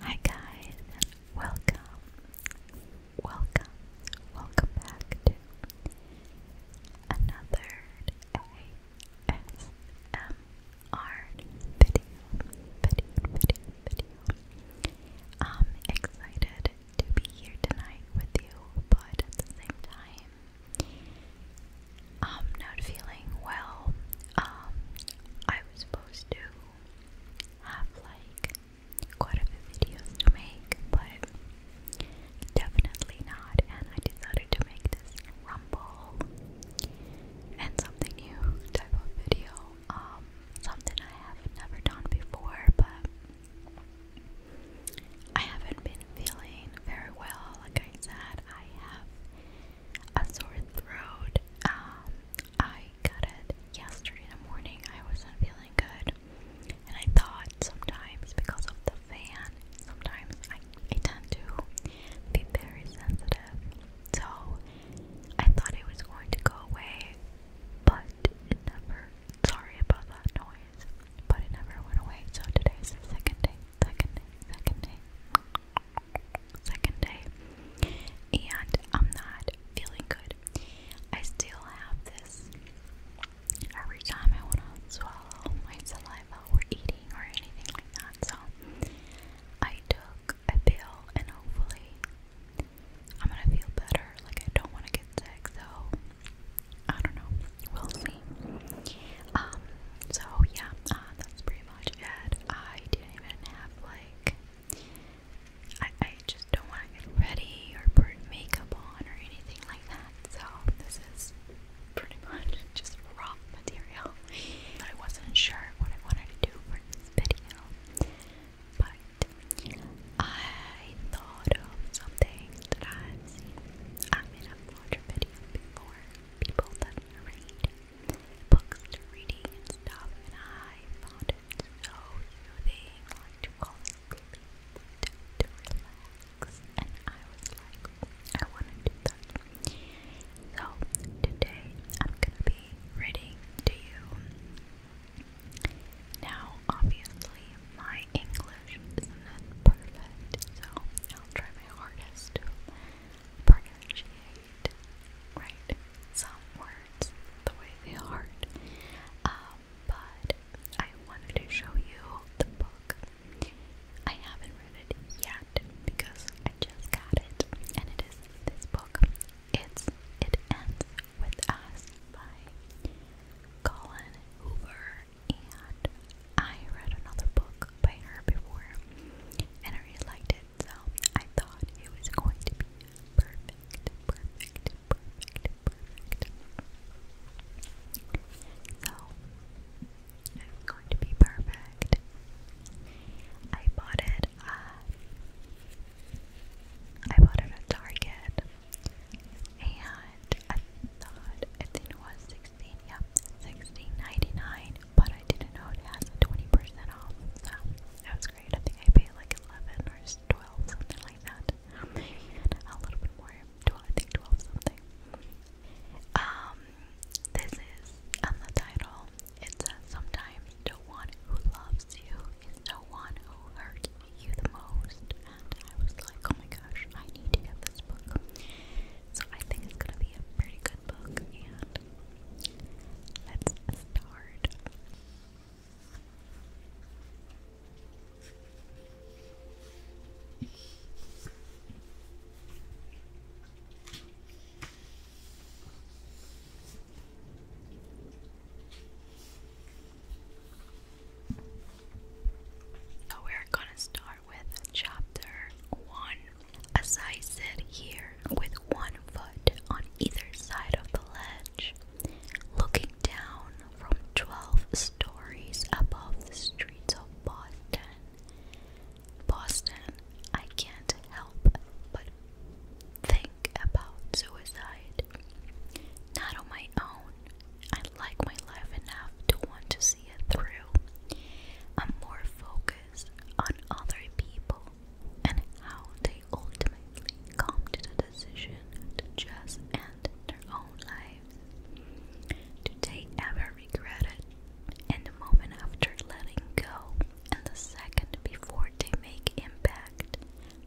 Hi guys, welcome, welcome, welcome back to another ASMR video, video, video, video. I'm excited to be here tonight with you, but at the same time, I'm not feeling well. Um, I was supposed to have like quite a few videos to make, but definitely not. And I decided to make this rumble and something new type of video, um, something I have never done before, but I haven't been feeling very well. Like I said, I have a sore throat. Um, I got it yesterday morning. I wasn't feeling good, and I thought sometimes because of the fan, sometimes I, tend to be very sensitive. So I thought it was going to go away, but it never. Sorry about that noise, but it never went away. So today's the second day, second day, second day second day, and I'm not feeling good. I still have this every time I want to swallow my saliva or eating or anything like that. So I took a pill, and hopefully I'm gonna feel better. Like I don't want to get sick, so I don't know. We'll see. Um. So yeah, uh, that's pretty much I didn't even have like I, I just don't want to get ready or put makeup on or anything like that so this is pretty much just raw material but I wasn't sure what I wanted to do for this video but I thought of something that I've seen I mean I've watched a video before people that read books reading and stuff, and I found it so soothing, to fall asleep, to, to and I was like, I want to do that. So today I'm gonna be reading to you. Now, obviously, my English isn't perfect, so I'll try my hardest pronunciate, right, some words the way they are. Um, but I wanted to show you the book. I haven't read it yet because I just got it, and it is this book. It's It Ends With Us by Colin Hoover, and I read another book cooked by her before, and I really liked it, so I thought it was going to be perfect, perfect, perfect, perfect. So, it's going to be perfect. I bought it at, uh, I bought it at Target, and I thought, I think it was 16, yeah, 16.99 but I didn't know it has 20% off, so that was great. I think I paid like 11 or 12, something like that. a little bit more, 12, I think 12 something. Um, this is on the title. It says, Sometimes the one who loves you is the one who hurts you the most. And I was like, oh my gosh, I need to get this book. So I think it's gonna be a pretty good book and let's start. So oh, we're gonna start with chapter 1. As I sit here with one foot on either side of the ledge, looking down from 12 stories above the streets of Boston, Boston, I can't help but think about suicide. Not on my own. I like my life enough to want to see it through. I'm more focused on other people and how they ultimately come to the decision to just end their own lives. Do they ever regret it? In the moment after letting go, and the second before they make impact,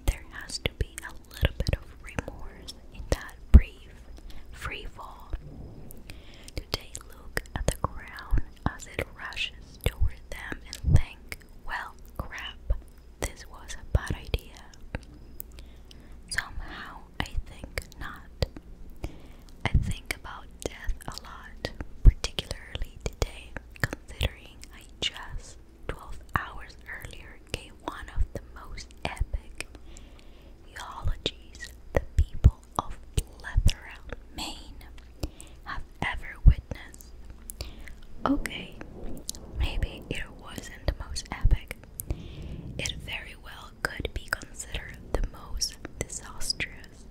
there has to be a little bit of remorse in that brief free fall. Do they look at the ground as it rushes toward them and think, well, crap, this was a bad idea. Somehow, I think not. I think about death a lot, particularly today, considering I just 12 hours earlier gave one of the most epic eulogies the people of plethora, Maine, have ever witnessed. Okay, maybe it wasn't the most epic. It very well could be considered the most disastrous.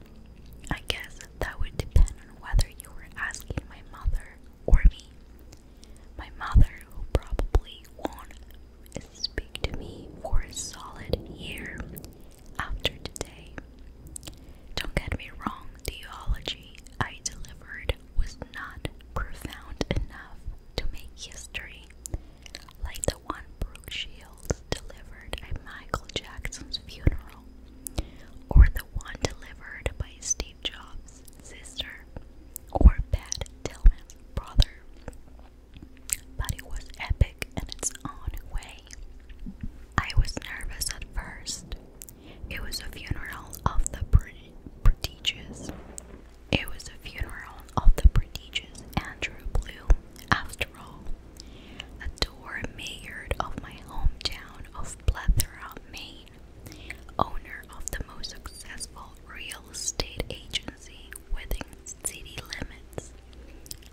I guess that would depend on whether you were asking my mother or me. My mother, who probably won't speak to me for a solid year after today. Don't get me wrong, theology I delivered was not profound enough to make history, like the one Brooke Shields delivered at Michael Jackson's funeral, or the one delivered by Steve Jobs' sister, or Pat Tillman's brother but it was epic in its own way. I was nervous at first. It was a funeral of the prodigious. It was a funeral of the prodigious Andrew Blue. after all. A door mayor of my hometown of Plethora, Maine, owner of the most successful real estate agency within city limits.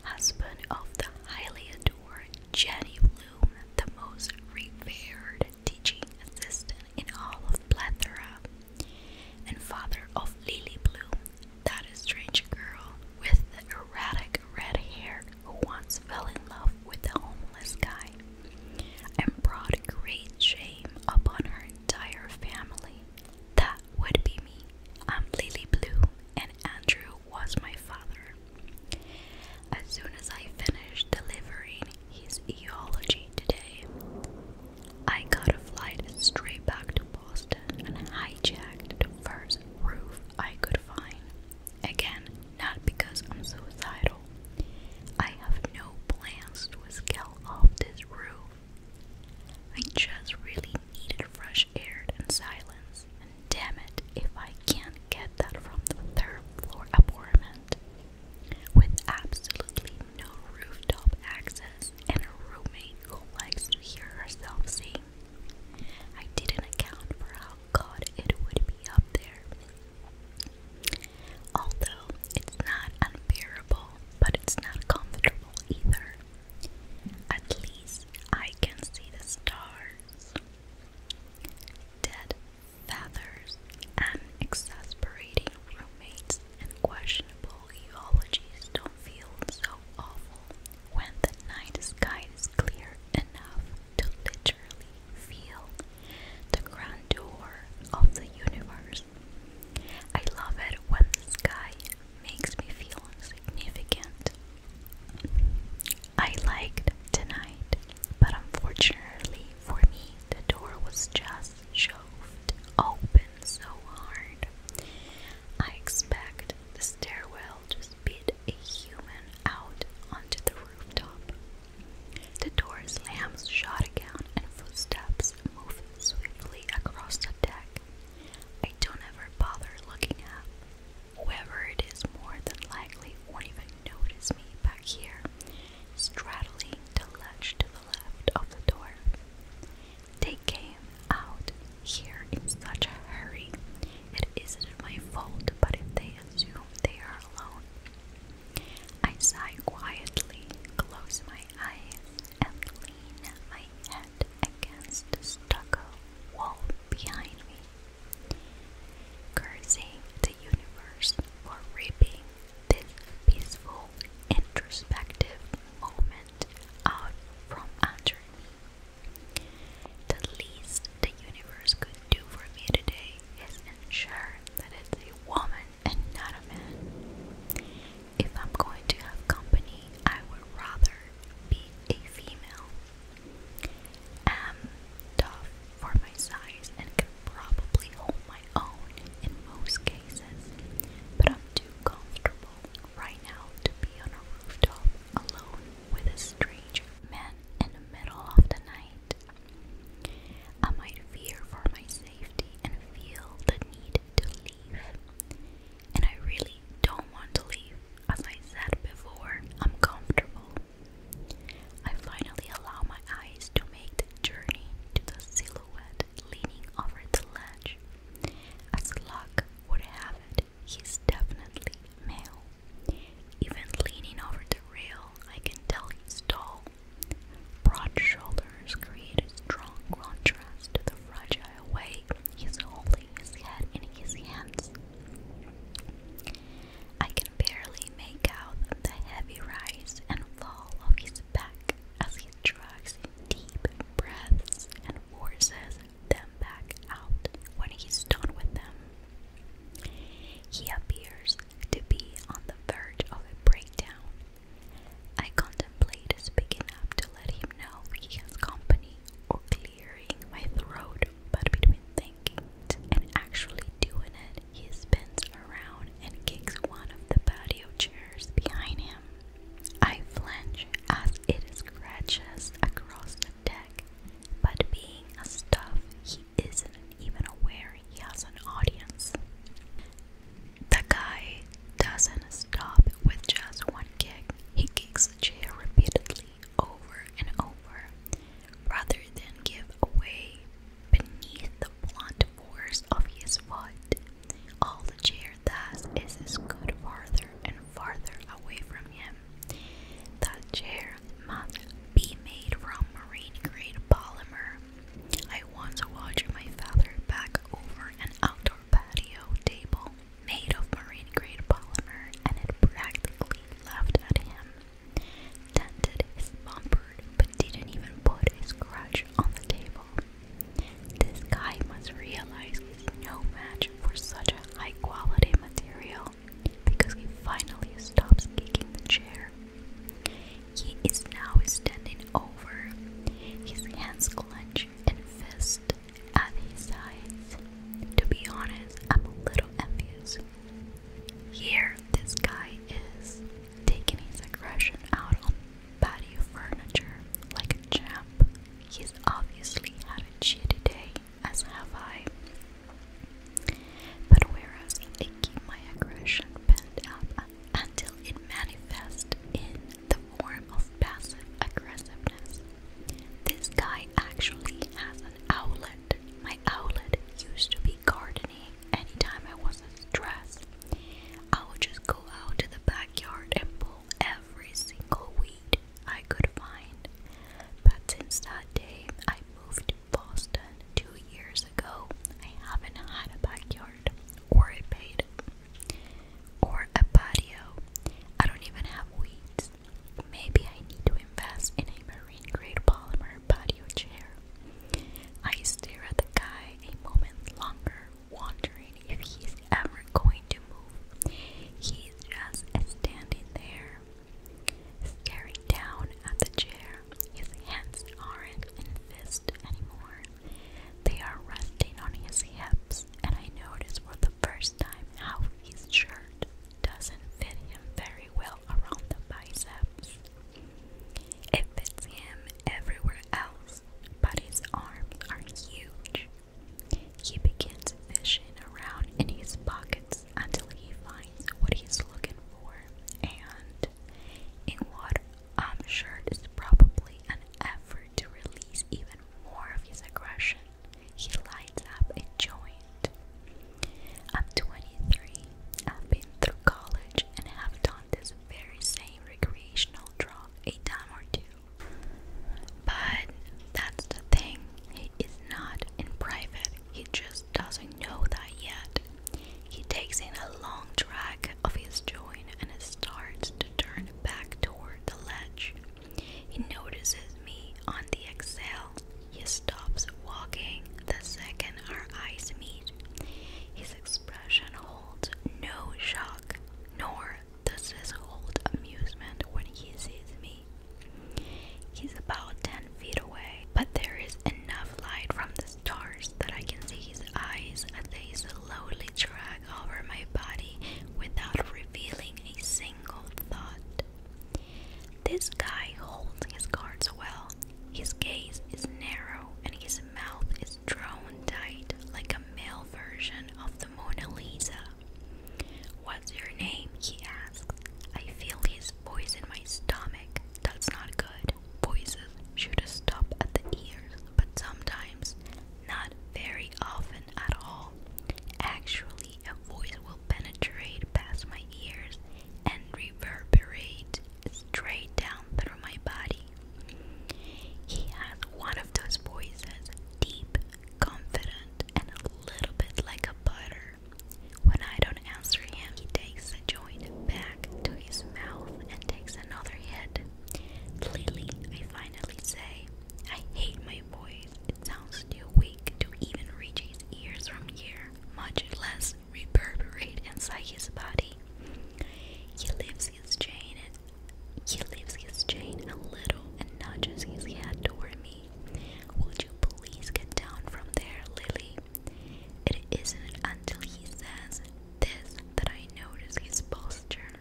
Husband of the highly adored Jenny Bloom, the most revered teaching assistant in all of Plethora, and father of Lily Bloom, that strange girl with the erratic red hair who once fell in love with the homeless guy and brought great shame upon her entire family. That would be me. I'm Lily Blue, and Andrew was my father. As soon as I finished delivering his eulogy today, I got a flight straight back to Boston and hijacked the first roof I could find. Again, not because I'm suicidal. I have no plans to scale off this roof I just really needed fresh air and silence, and damn it if I can't get that from the third floor apartment. With absolutely no rooftop access and a roommate who likes to hear herself sing, I didn't account for how God it would be up there. Although it's not unbearable but it's not comfortable either. At least I can see the stars. Dead feathers and exasperating roommates and questionable eulogies don't feel so awful when the night sky is clear enough to literally feel the grandeur of the universe I love it when the sky makes me feel insignificant. I liked tonight, but unfortunately for me, the door was just shoved open so hard. I expect the stairwell to spit a human out onto the rooftop. The door slams shut again, and footsteps move swiftly across the deck. I don't ever bother looking up. Whoever it is more than likely won't even notice me back here, straddling the ledge to the left of the door. They came out here in such a hurry. It isn't my fault, but if they assume they are alone, I sigh quietly, close my eyes, and lean my head against stucco wall behind me, cursing the universe for ripping this peaceful, introspective moment out from under me. The least the universe could do for me today is ensure that it's a woman and not a man. If I'm going to have company, I would rather be a female. I'm tough for my size and can probably hold my own in most cases, but I'm too comfortable right now to be on a rooftop alone with a strange man in the middle of the night. I might fear for my safety and feel the need to leave. And I really don't want to leave. As I said before, I'm comfortable. I finally allow my eyes to make the journey to the silhouette leaning over the ledge. As luck would have it, he's definitely male. Even leaning over the rail, I can tell he's tall Broad shoulders create a strong contrast to the fragile way he's holding his head in his hands. I can barely make out the heavy rise and fall of his back as he drags deep breaths and forces them back out when he's done with them. He appears to be on the verge of a breakdown I contemplate speaking up to let him know he has company or clearing my throat, but between thinking it and actually doing it, he spins around and kicks one of the patio chairs behind him. I flinch as it scratches across the deck, but being a stuff, he isn't even aware he has an audience. The guy doesn't stop with just one kick. He kicks the chair repeatedly over and over rather than give away beneath the blunt force of his foot. All the chair does is scoot farther and farther away from him. That chair must be made from marine grade polymer I once watched my father back over an outdoor patio table made of marine grade polymer and it practically laughed at him. Dented his but didn't even put his crutch on the table. This guy must realize he's no match for such a high quality material because he finally stops kicking the chair he is now standing over, his hands clenched and fist at his sides. To be honest, I'm a little envious. Here, this guy is taking his aggression out on patio furniture like a champ. He's obviously had a shitty day, as have I. But whereas I keep my aggression pent up until it manifests in the form of passive aggressiveness. This guy actually has an outlet. My outlet used to be gardening. Anytime I wasn't stressed, I would just go out to the backyard and pull every single weed I could find. But since that day, I moved Boston two years ago. I haven't had a backyard or a bed or a patio. I don't even have weeds. Maybe I need to invest in a marine grade polymer patio chair. I stare at the guy a moment longer, wondering if he's ever going to move. He's just standing there, staring down at the chair. His hands aren't in fists anymore. They are resting on his hips, and I notice for the first time how his shirt doesn't fit him very well around the biceps. It fits him everywhere else, but his arms are huge. He begins fishing around in his pockets until he finds what he's looking for, and in what I'm sure is probably an effort to release even more of his aggression. He lights up a joint. I'm 23. I've been through college and have done this very same recreational drug a time or two. But that's the thing, is not in private he just doesn't know that yet. He takes in a long drag of his joint and starts to turn back toward the ledge. He notices me on the exhale. He stops walking the second our eyes meet. His expression holds no shock, nor does his hold amusement when he sees me. He's about 10 feet away, but there is enough light from the stars that I can see his eyes as they slowly drag over my body without revealing a single thought. This guy holds his cards well. His gaze is narrow and his mouth is drawn tight like a male version of the Mona Lisa. What's your name? he asks. I feel his poison my stomach. That's not good. Voices should stop at the ears, but sometimes, not very often at all. Actually, a voice will penetrate past my ears and reverberate straight down through my body. He has one of those voices, deep, confident, and a little bit like a butter. When I don't answer him, he takes the joint back to his mouth and takes another hit. Lily, I finally say, I hate my voice. It sounds too weak to even reach his ears from here, much less reverberate inside his body. He lifts his chain. He lifts his chain a little and nudges his head toward me. Would you please get down from there, Lily? It isn't until he says this that I notice his posture.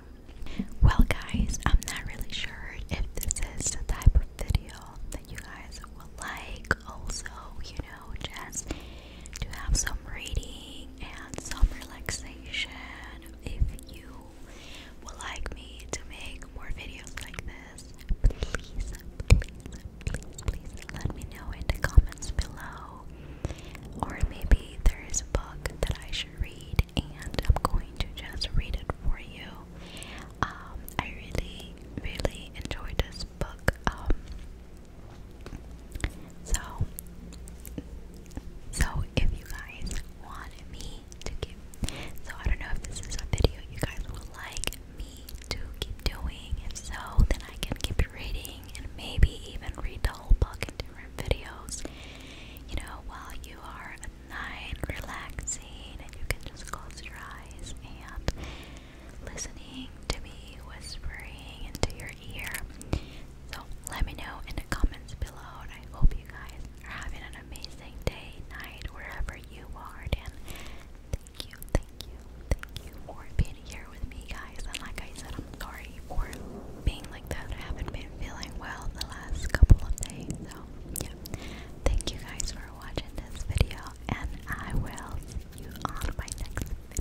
Well, guys, I'm not really sure if this is the type of video that you guys will like. Also, you know, just to have some reading and some relaxation. If you will like me to make more videos like this this, please, please, please, let me know in the comments below. Or maybe there is a book that I should read, and I'm going to just read it for you. Um, I really, really enjoyed this book. Um, so, so if you guys want me to give, so I don't know if this is a video you guys will like, me to keep doing? If so, then I can keep reading and maybe even read the whole book in different videos. You know, while you are at night relaxing and you can just close your eyes and listening to me whispering into your ear. So let me know in the comments below. And I hope you guys are having an amazing day, night, wherever you are thank you, thank you, thank you for being here with me, guys. And like I said, I'm sorry for being like that. I haven't been feeling well the last couple of days, so yeah. Thank you guys for watching this video, and I will see you on my next video.